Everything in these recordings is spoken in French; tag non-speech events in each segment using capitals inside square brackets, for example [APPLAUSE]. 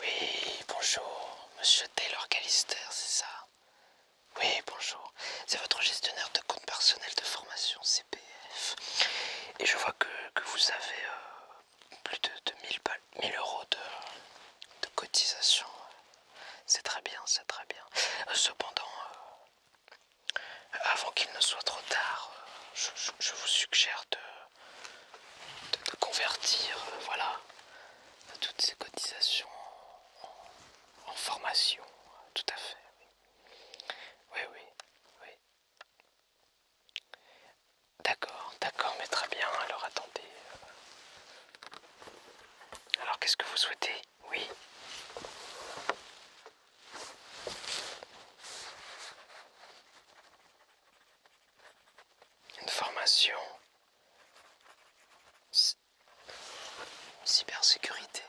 Oui, bonjour, monsieur Taylor Callister, c'est ça Oui, bonjour, c'est votre gestionnaire de compte personnel de formation CPF. Et je vois que, vous avez euh, plus de, 2000 1000, euros de, cotisation. C'est très bien, c'est très bien. Euh, cependant, euh, avant qu'il ne soit trop tard, je vous suggère de de, convertir euh, voilà, toutes ces cotisations en, en formation, tout à fait. Oui, oui, oui. D'accord, d'accord, mais très bien. Alors attendez. Alors qu'est-ce que vous souhaitez Oui une formation cybersécurité.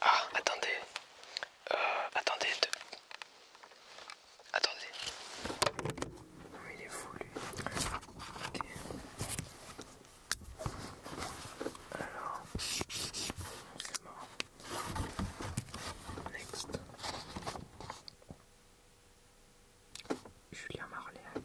Ah, attendez. Euh, attendez. Attendez. il est Alors. mort. Next. Julien Marléac.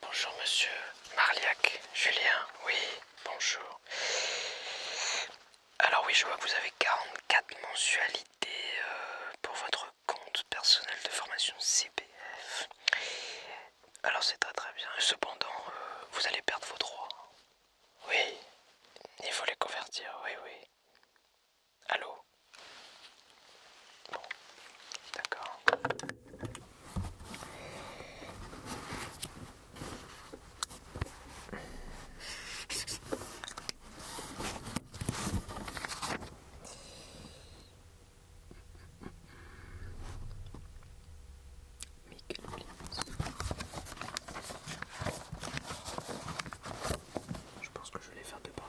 Bonjour monsieur Marliac, Julien, oui, bonjour. Alors oui, je vois que vous avez 44 mensualités euh, pour votre compte personnel de formation CPF. Alors c'est très très bien. Cependant, euh, vous allez perdre vos droits. Oui, il faut les convertir, oui, oui. Allô Bon, d'accord. Je pense que je vais les faire deux par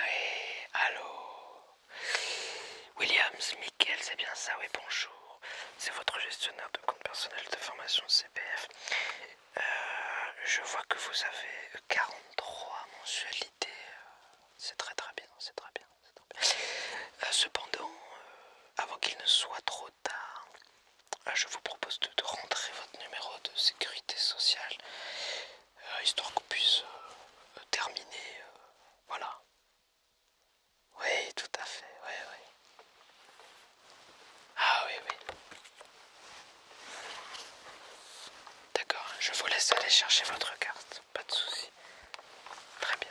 Oui, allô Williams, Michael, c'est bien ça, oui, bonjour. C'est votre gestionnaire de compte personnel de formation CPF. Euh, je vois que vous avez 43 mensualités. C'est très très bien, c'est très bien. Très bien. Euh, cependant, euh, avant qu'il ne soit trop tard, ah, je vous propose de, rentrer votre numéro de sécurité sociale, euh, histoire qu'on puisse euh, terminer. Euh, voilà. Oui, tout à fait, oui, oui. Ah oui, oui. D'accord, je vous laisse aller chercher votre carte, pas de souci. Très bien.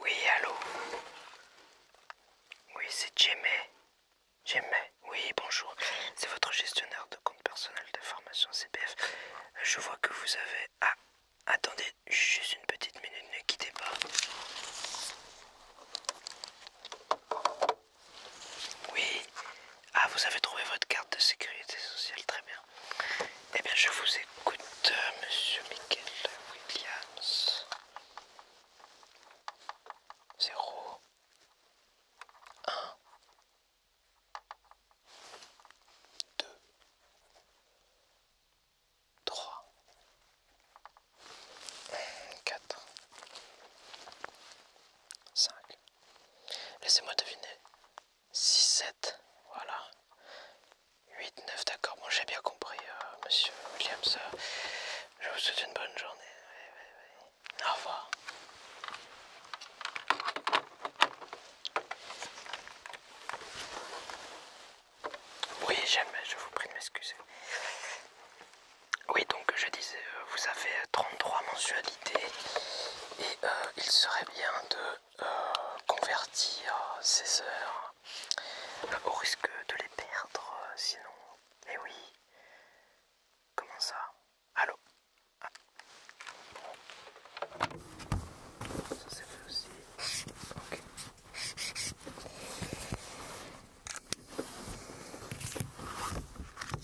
Oui, allô Oui, c'est Jemay. Jemay, oui, bonjour. C'est votre gestionnaire de compte personnel de formation CPF. Je vois que vous avez... Ah, attendez, juste une petite minute, ne quittez pas. Oui, ah, vous avez trouvé votre carte de sécurité sociale, très bien. Eh bien, je vous écoute, euh, monsieur Michael Williams. 0 1 2 3 4 5 Laissez-moi deviner. 6, 7, voilà. 8, 9, d'accord. Bon, j'ai bien compris, euh, monsieur Williams. Euh, je vous souhaite une bonne journée. Au revoir. Oui, jamais, je vous prie de m'excuser. Oui, donc je disais, euh, vous avez 33 mensuels et euh, il serait bien de euh, convertir ces heures euh, au risque de les perdre sinon. et eh oui. Comment ça Allô ah. aussi.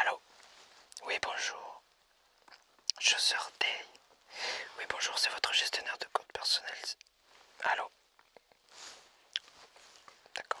Allô Oui, bonjour. Je sortais. Oui, bonjour, c'est votre gestionnaire de compte personnel. Allô D'accord.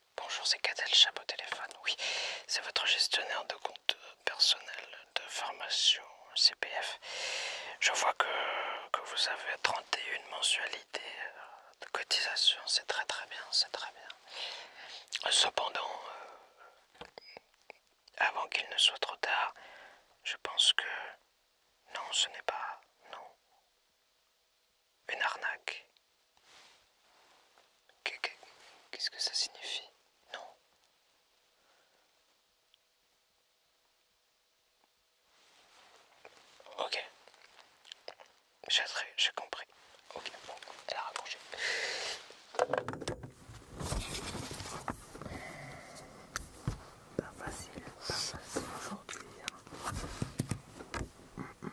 Bonjour, c'est Cadel Chapeau téléphone. Oui, c'est votre gestionnaire de compte personnel de formation CPF. Je vois que, vous avez 31 mensualités euh, de cotisation. C'est très très bien, c'est très bien. Cependant, euh, avant qu'il ne soit trop tard, je pense que... Non, ce n'est pas... Non. Une arnaque. Qu'est-ce que ça signifie Non. Ok. J'ai compris. Ok, bon, elle a raccroché. Pas facile, pas facile aujourd'hui. Hein. Mm, mm.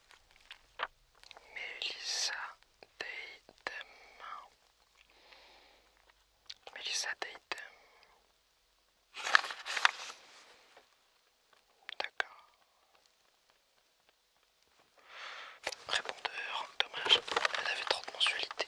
Mélissa Deitem. Mélissa Deitem. D'accord. Répondeur, dommage, elle avait trop de mensualités.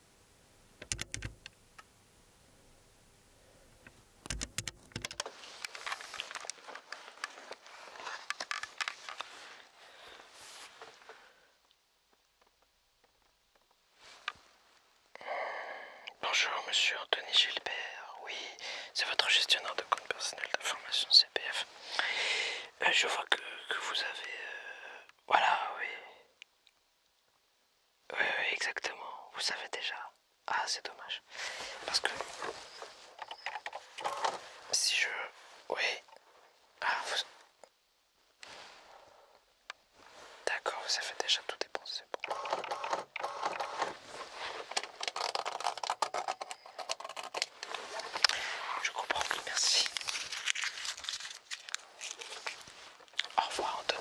Bonjour monsieur Denis Gilbert, oui, c'est votre gestionnaire de compte personnel d'information CPF. Euh, je vois que, vous avez... Euh, voilà, oui. Oui, exactement. Vous savez déjà. Ah, c'est dommage. Parce que... Si je... Oui. Ah, vous... D'accord, vous savez déjà tout dépenser. Bon. Je comprends, merci. Au revoir Anthony.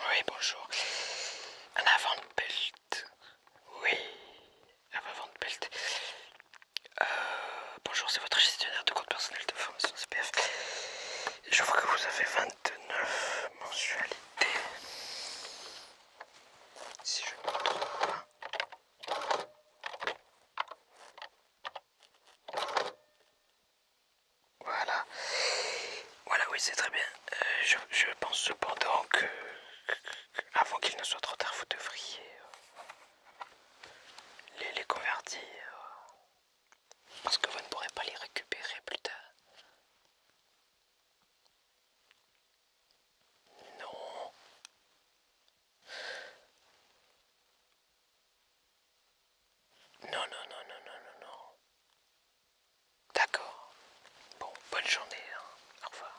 Oui, bonjour. Un avant de pelt. Oui, un avant de euh, bonjour, c'est votre gestionnaire de compte personnel de formation CPF. Je vois que vous avez 29 mensualité. Si je ne me Voilà. Voilà, oui, c'est très bien. Euh, je, pense cependant que, avant qu'il ne soit trop tard, vous devriez euh, les, les convertir. Parce que vous ne pourrez pas les récupérer plus tard. Non. Non, non, non, non, non, non, non. D'accord. Bon, bonne journée. Hein. Au revoir.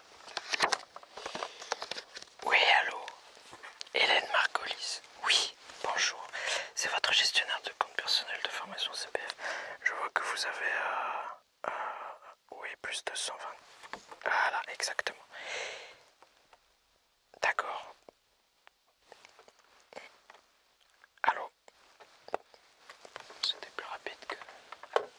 Oui, allô Hélène Marcolis. Oui, bonjour. C'est votre gestionnaire de compte personnel de formation CPF. Je vois que vous avez... Euh, euh, oui, plus de 120. Voilà, exactement. D'accord. Allô C'était plus rapide que...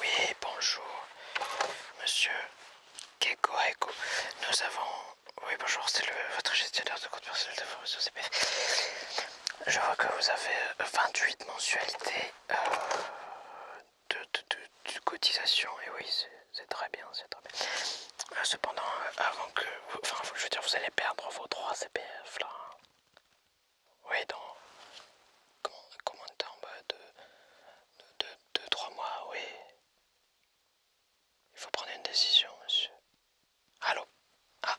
Oui, bonjour, monsieur Keko Nous avons. Oui, bonjour, c'est votre gestionnaire de compte personnel de formation CPF. Je vois que vous avez 28 euh, mensualités euh, de, cotisation. Et oui, c'est très bien, c'est très bien. Euh, cependant, avant que. Enfin, je veux dire, vous allez perdre vos 3 CPF là. Hein. Oui, dans. Comment, comment de temps de, deux, trois mois, oui. Il faut prendre une décision, monsieur. Allô Ah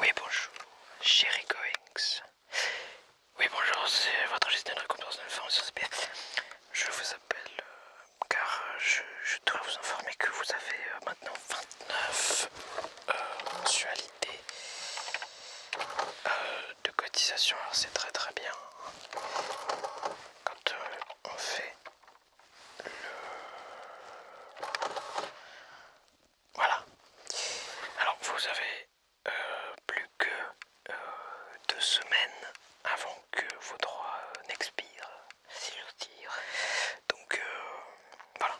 Oui bonjour, chéri Goings. Oui, bonjour, c'est votre gestionnaire de récompense de l'information Je vous appelle euh, car je, dois vous informer que vous avez euh, maintenant 29 mensualités euh, de cotisation. Alors, c'est très très bien. Quand on fait le. Voilà. Alors, vous avez plus que euh, deux semaines avant que vos droits euh, n'expirent, si j'ose dire. Donc euh, voilà.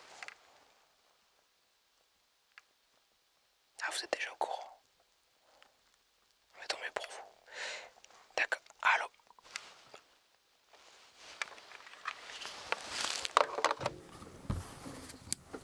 Ah, vous êtes déjà au courant. Mais va tomber pour vous. D'accord. Allô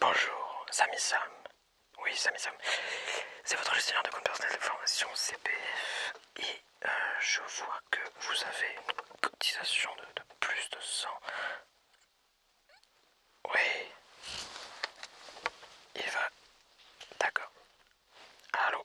Bonjour, Sami Sam. Oui, Samy Sam. C'est votre gestionnaire de compte personnel de formation CPF. Et euh, je vois que vous avez une cotisation de, de plus de 100. Oui. Il va. D'accord. Allô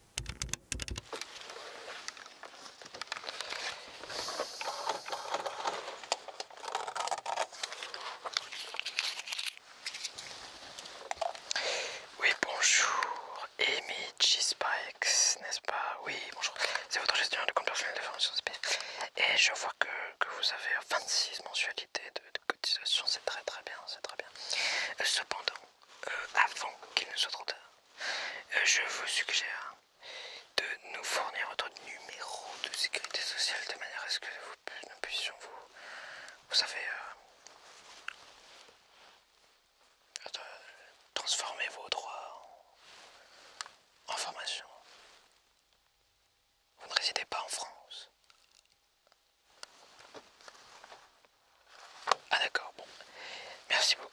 Oui, bonjour, Amy G. n'est-ce pas Oui, bonjour, c'est votre gestionnaire de compte personnel de formation Et je vois que, vous avez 26 mensualités de, cotisation, c'est très très bien, c'est très bien. Euh, cependant, euh, avant qu'il ne soit trop tard, euh, je vous suggère de nous fournir votre numéro de sécurité sociale de manière à ce que nous puissions vous... Vous savez... Euh, transformer vos droits en formation. Vous ne résidez pas en France. Ah d'accord, bon. Merci beaucoup,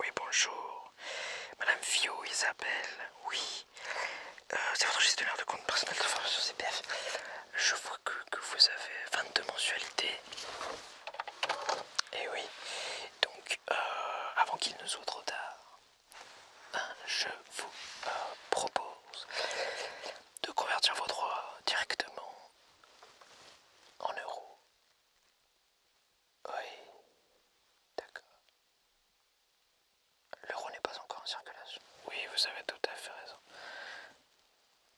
Oui, bonjour. Madame Fio, Isabelle, oui. Euh, c'est votre gestionnaire de compte personnel de formation CPF. Je vois que vous avez 22 mensualités et eh oui, donc euh, avant qu'il ne soit trop tard, hein, je vous euh, propose de convertir vos droits directement en euros. Oui, d'accord. L'euro n'est pas encore en circulation. Oui, vous avez tout à fait raison.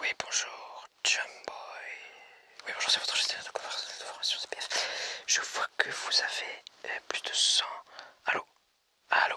Oui, bonjour, Jumboy. Oui, bonjour, c'est votre gestionnaire de conversation CPF. Je vois que vous avez euh, plus de 100. Allô Allô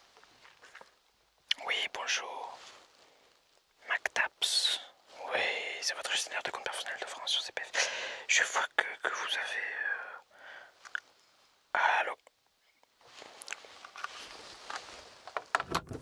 Oui, bonjour. MacTaps. Oui, c'est votre gestionnaire de compte personnel de France sur CPF. Je vois que, vous avez... Allo euh, Allô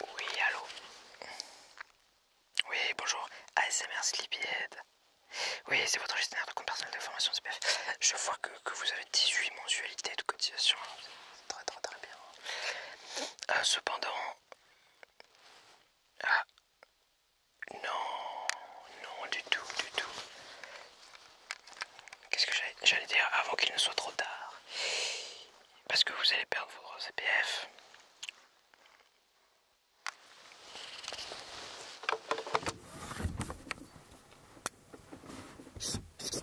Oui, allô Oui, bonjour, ASMR Sleepyhead. Oui, c'est votre gestionnaire de compte personnel de formation CPF. Je vois que, que vous avez 18 mensualités de cotisation très très très bien. Euh, cependant, ah non, non du tout, du tout. Qu'est-ce que j'allais dire avant qu'il ne soit trop tard Parce que vous allez perdre vos CPF. E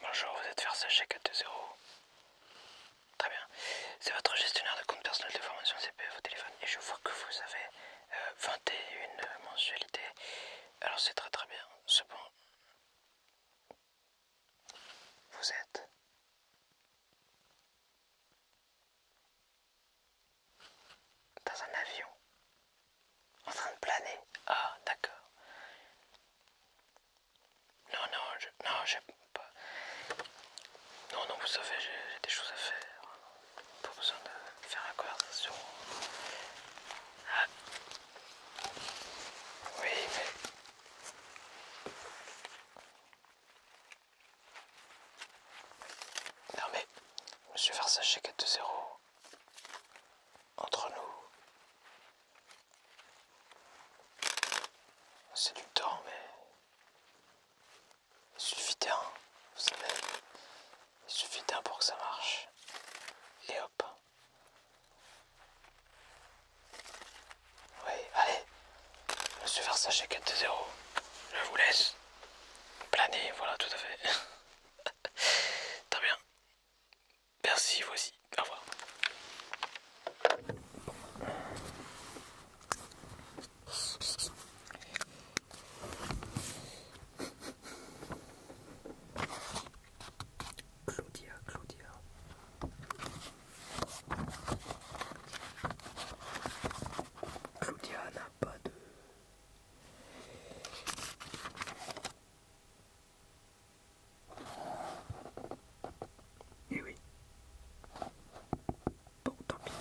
Bonjour, vous êtes Versace 420. Très bien. C'est votre gestionnaire de compte personnel de formation CPF au e, téléphone et je vois que vous avez 21 euh, mensualités. Alors c'est très très bien. c'est bon, vous êtes dans un avion En train de planer Ah, d'accord. Non, non, Non, j'ai Pas... Non, non, vous savez, j'ai des choses à faire. Pas besoin de faire la conversation. Ah. Oui, mais... Non mais, je Monsieur Versace 4-0, entre nous, c'est du temps, mais il suffit d'un, vous savez, il suffit d'un pour que ça marche. Et hop. Oui, allez. Monsieur ça 4 0 Je vous laisse. Planer, voilà, tout à fait. [LAUGHS] Très bien. Merci, voici. Au revoir. Claudia, Claudia. Claudia n'a pas de... Eh oui. Bon, tant pis.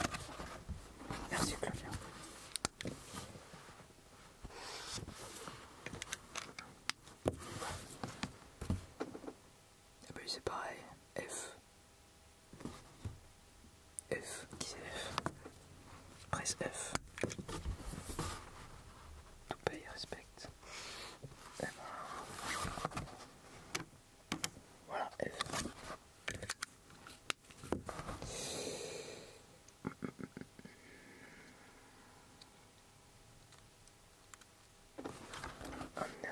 Merci Claudia. Et ah bah c'est pareil, F. F, qui c'est F Presse F. Tout paye, respecte. Voilà, F. Ah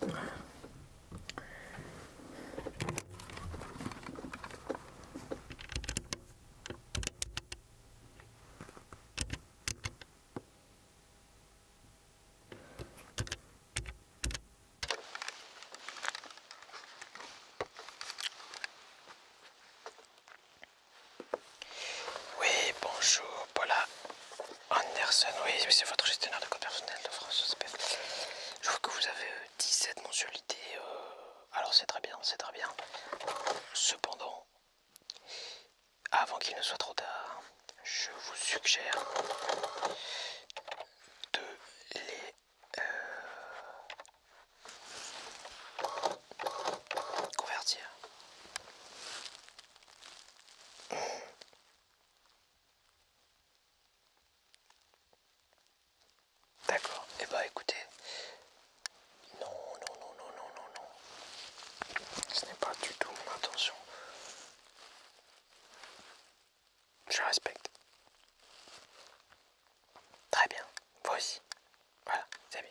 Oui, bonjour Paula. Anderson, oui, c'est votre gestionnaire de code personnel de France Je vois que vous avez 17 euh, mensualités. Euh, alors c'est très bien, c'est très bien. Cependant, avant qu'il ne soit trop tard, je vous suggère de les euh, convertir. D'accord. Et eh bah ben, écoutez, non, non, non, non, non, non, non. Ce n'est pas du tout mon intention. Je respecte. Très bien. Voici. Voilà, c'est bien.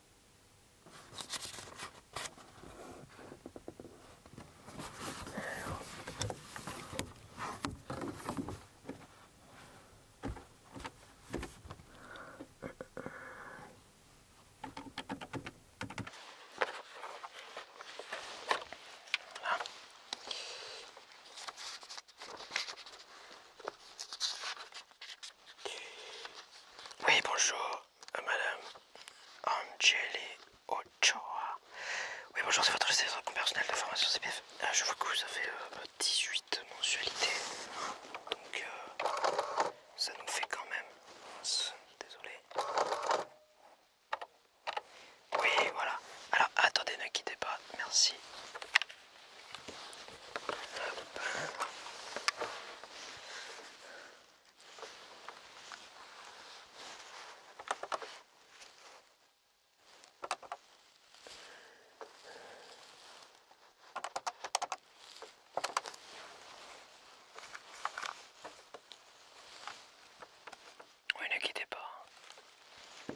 Oui, bonjour madame Angeli Ochoa. Oui, bonjour, c'est votre gestion personnel de formation CPF. Ah, je vois que vous avez 18 euh, mensualités. Donc, euh, ça nous fait quand même. Désolé. Oui, voilà. Alors, attendez, ne quittez pas. Merci. Oui, ne quittez pas. Hein.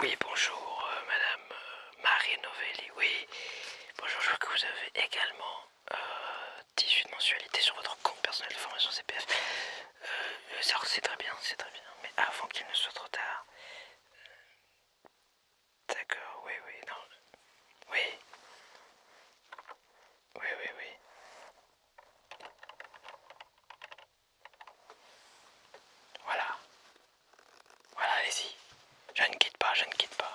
Oui, bonjour euh, Madame euh, Marie Novelli. Oui, bonjour, je vois que vous avez également 18 euh, mensualités sur votre compte personnel de formation CPF. c'est très bien, c'est très bien. Mais avant qu'il ne soit trop tard. D'accord, oui, oui, non. Oui. Oui, oui, oui. Voilà. Voilà, allez-y. Je ne quitte pas, je ne quitte pas.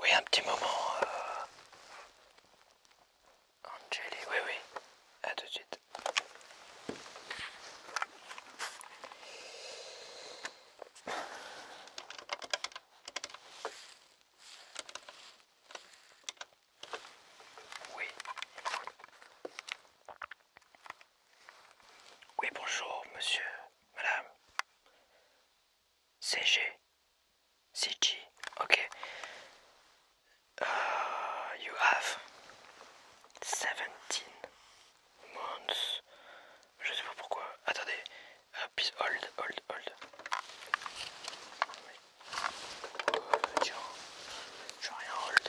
Oui, un petit moment. Euh, Angélie. oui, oui. À tout de suite. Oui. Oui, bonjour, monsieur, madame. CG. CG. Ok. Ah, you have 17 months. Je sais pas pourquoi. Attendez. Uh, please hold, hold, hold. tiens tiens. J'ai rien hold.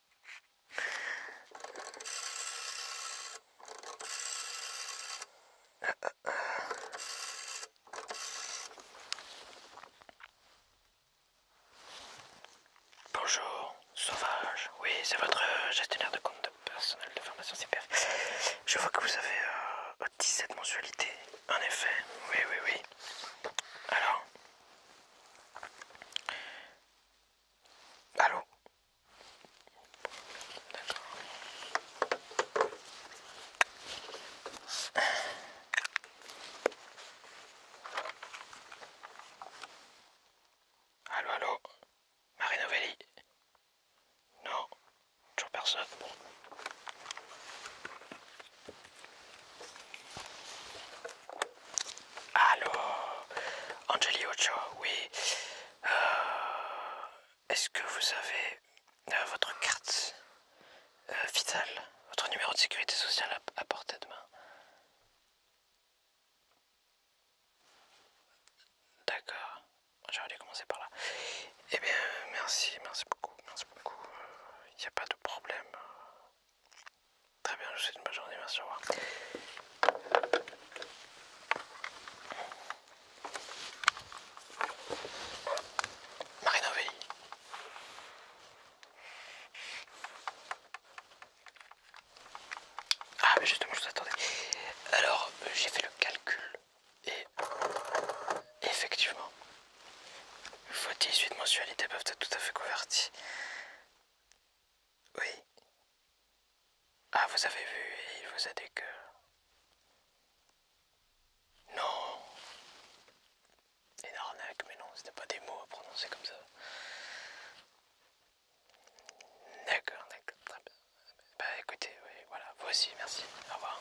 Bonjour, sauvage. Oui, c'est votre gestionnaire de compte personnel de formation Super. Je vois que vous avez 17 euh, mensualités. En effet, oui, oui, oui. Alors, Allô D'accord. Allô, allô Marie Novelli Non, toujours personne. Allô Angeli oui. Euh, est-ce que vous avez euh, votre carte euh, vitale, votre numéro de sécurité sociale à, à portée de main D'accord. J'aurais dû commencer par là. Eh bien, merci, merci beaucoup, merci beaucoup. Il n'y a pas de problème. Très bien, je vous souhaite une bonne journée, merci, au revoir. Marina Ovelli. Ah mais justement je vous attendais. Alors j'ai fait le calcul et effectivement vos 18 mensualités peuvent être tout à fait converties oui. Ah, vous avez vu, il vous a dit que... Non. Une arnaque, mais non, ce c'était pas des mots à prononcer comme ça. D'accord, d'accord, très bien. Bah écoutez, oui, voilà, vous aussi, merci, au revoir.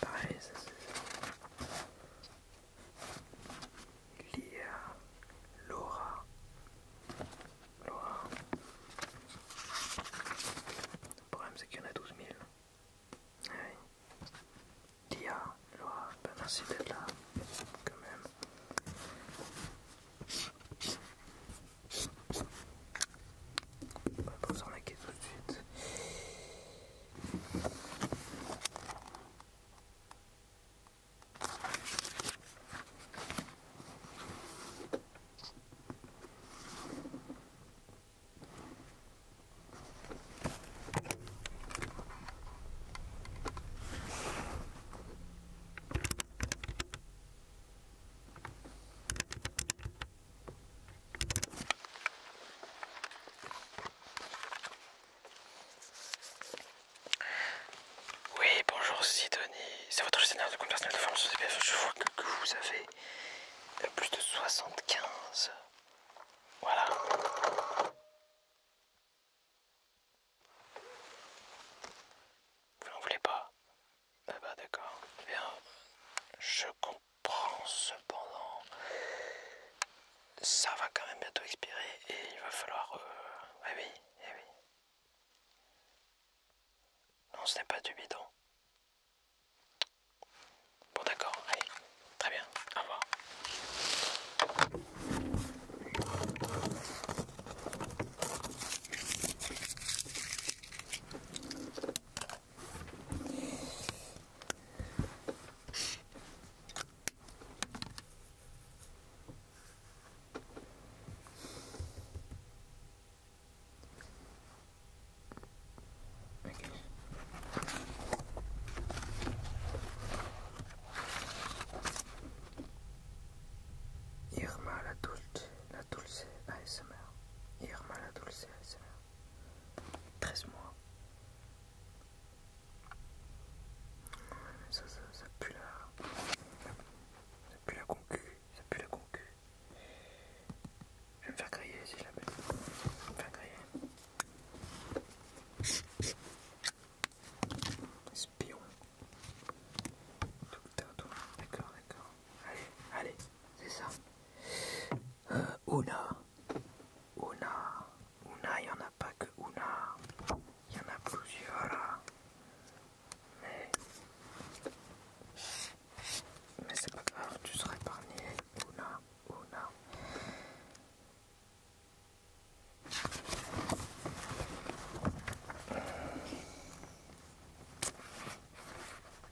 Pareil, ça c'est Lia, Laura, Laura. Le problème c'est qu'il y en a 12 000. Ah Lia, Laura, bah, merci d'être là, quand même. On va pas s'en inquiéter tout de suite. Oui, bonjour Sidonie, c'est votre gestionnaire de compte personnel de formation CPF. Je vois que, vous avez plus de 75. Voilà. Vous n'en voulez pas ah bah, d'accord. Bien, je compte Prends cependant ça va quand même bientôt expirer et il va falloir... Euh, eh oui, eh oui. Non, ce n'est pas du bidon. Bon d'accord, allez, très bien, au revoir. Okay. Irma la dulce, la dulce ASMR. Irma la dulce ASMR. 13 mois. Ça, ça, ça pue la... Ça pue la concu, ça pue la concu. Je vais me faire griller si je la Je vais me faire griller. Espion. Tout d'accord, d'accord. Allez, allez, c'est ça. Ouna. Euh, Ouna. Ouna, il n'y en a pas que Ouna. Il y en a plusieurs Mais. Mais c'est pas grave, tu seras épargné. Ouna. Ouna.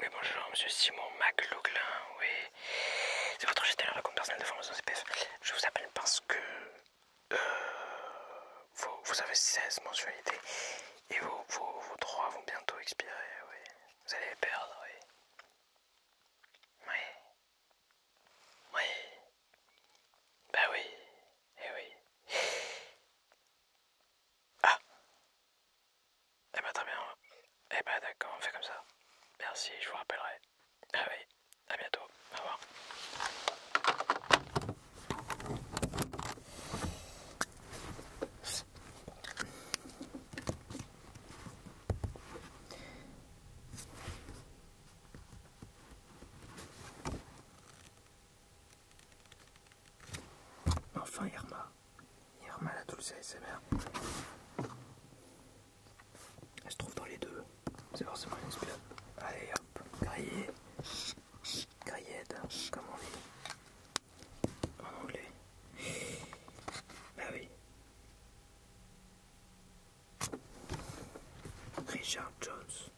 Oui, bonjour, monsieur Simon McLoughlin, oui. C'est votre gestionnaire de compte personnel de formation CPF. Je vous appelle parce que euh, vous, avez 16 mensualités et vos, droits vont bientôt expirer, oui. Vous allez les perdre, oui. Oui. Oui. Bah oui, eh oui. Ah Eh ben très bien. Eh ben d'accord, on fait comme ça. Merci, je vous rappellerai. Ah oui, à bientôt. Au revoir. Enfin Irma. Irma la douce ASMR. Elle se trouve dans les deux. C'est forcément une espionne. Allez hop, grillé. d'un comme on dit. En anglais. Bah oui. Richard Jones.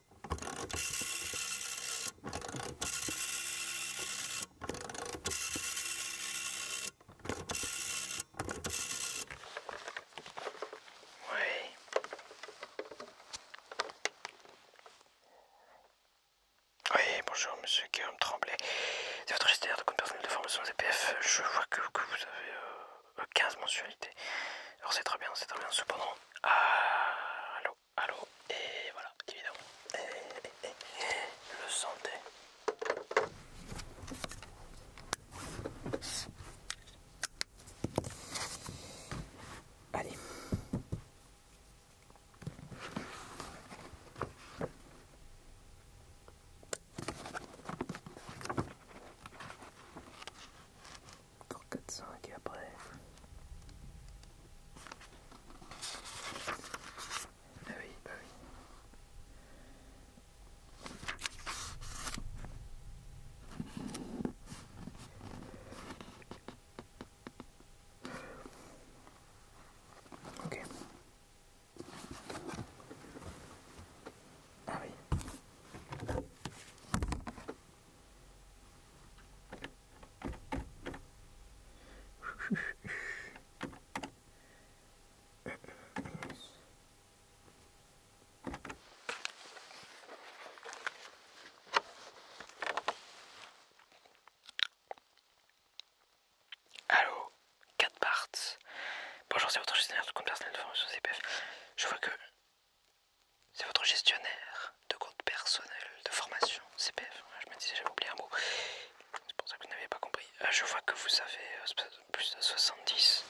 Oui. Oui, bonjour monsieur Guillaume Tremblay. C'est votre gestionnaire de compte personnel de formation ZPF. Je vois que, vous avez 15 euh, mensualités. Alors c'est très bien, c'est très bien. Cependant, ah, allô et voilà, évidemment. le santé. Allez pour quatre et après oui oui Ah oui. Bah ah Allô, 4 parts. Bonjour, c'est votre gestionnaire de compte personnel de formation CPF. Je vois que c'est votre gestionnaire de compte personnel de formation CPF. Hein, je me disais, j'avais oublié un mot. C'est pour ça que vous n'avez pas compris. Ah, je vois que vous avez euh, plus de 70,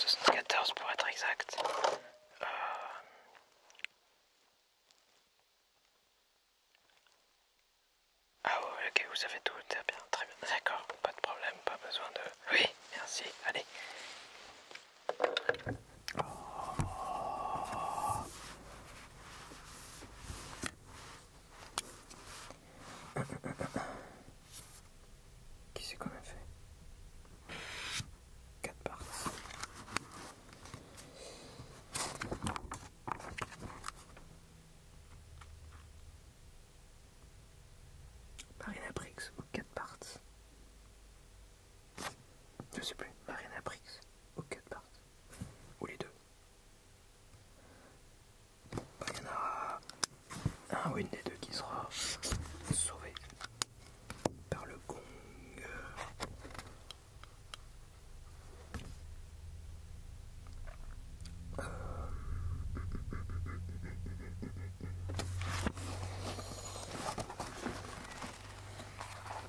74 pour être exact. Euh. Ah ouais, ok, vous avez tout, très bien, très bien. D'accord, pas de problème, pas besoin de... Oui, merci, allez. Oh. Qui c'est qu'on a fait 4 parts. Marina Briggs ou 4 parts. Je sais plus, Marina au ou part. Ou les deux. il y en un ou une des deux qui sera sauvé par le gong.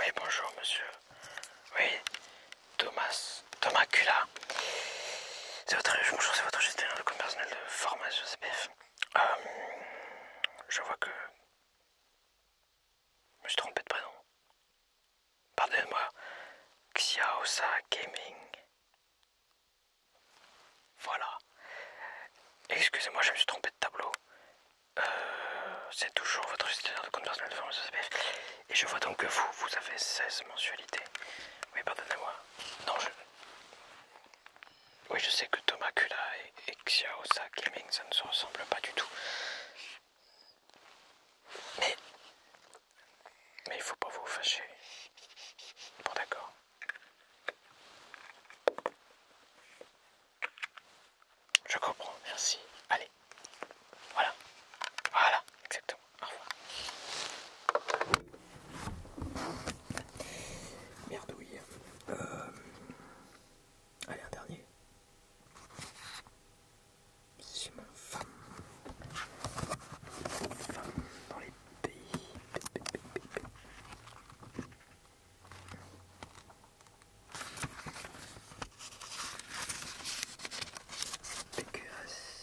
Oui, bonjour, monsieur. Oui, Thomas, Thomas c'est votre, bonjour, c'est votre gestionnaire de compte personnel de formation CPF. Euh, je vois que. Je me suis trompé de prénom. Pardonnez-moi. Xiaosa Gaming. Voilà. Excusez-moi, je me suis trompé de tableau. Euh, c'est toujours votre gestionnaire de compte personnel de formation CPF. Et je vois donc que vous, vous avez 16 mensualités. Oui, pardonnez-moi. Non, je... Oui, je sais que Thomas et, et Xiaosa Gaming, ça ne se ressemble pas du tout. Mais... Mais il faut pas vous fâcher. Bon, d'accord. Je comprends, merci. Allez. Voilà. Voilà, exactement. Au revoir. Merdouille. Euh, allez, un dernier. C'est mon femme. Femme dans les pays. Pécuas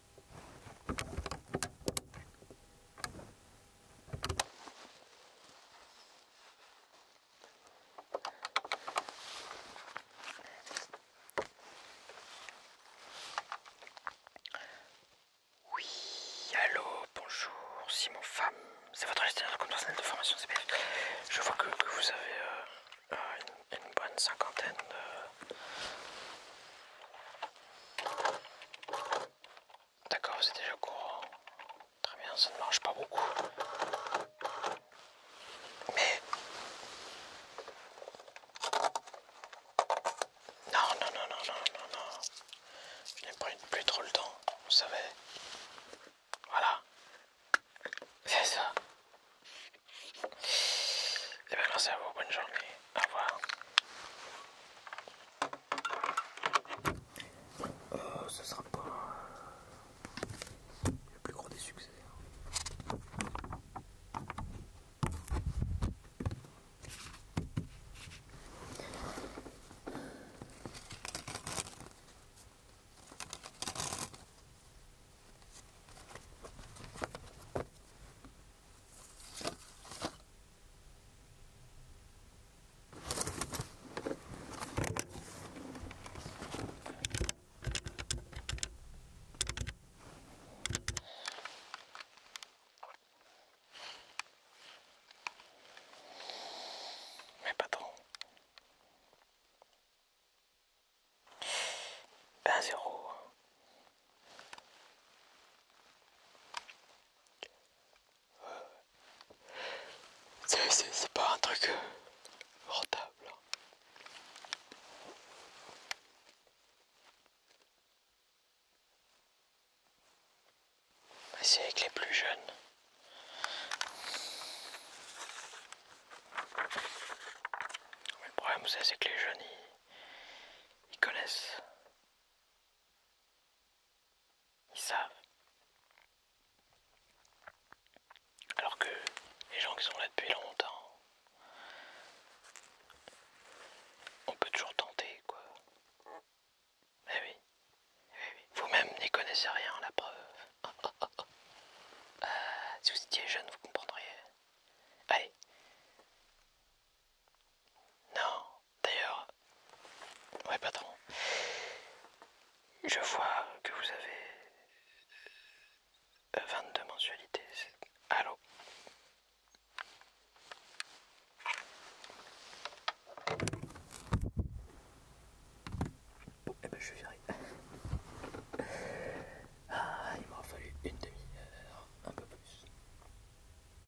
oui, allô, bonjour, Simon Femme. C'est votre gestionnaire de la de formation CPF. Je vois que, vous avez euh, euh, une, bonne cinquantaine de... D'accord, vous êtes déjà courant. Très bien, ça ne marche pas beaucoup. Mais... Non, non, non, non, non, non, non. Je n'ai pris plus trop le temps, vous savez. Voilà. C'est ça. Et eh bien, merci à vous. Bonne journée. Au revoir ce euh, sera pas le plus gros des succès. Mais pas trop. Ben zéro. C'est pas un truc euh, rentable. Hein. C'est avec les plus jeunes. le problème c'est que les jeunes ils connaissent. Ils savent. Alors que les gens qui sont là depuis longtemps, on peut toujours tenter, quoi. Mais eh oui. Eh Vous-même n'y connaissez rien, la preuve. [LAUGHS] Euh, si vous étiez jeune, vous comprendriez. Allez, non, d'ailleurs, ouais patron, je vois que vous avez 22 euh, mensualités. Allô et eh ben je vais viré. [LAUGHS] Ah, il m'aura fallu une demi-heure, un peu plus.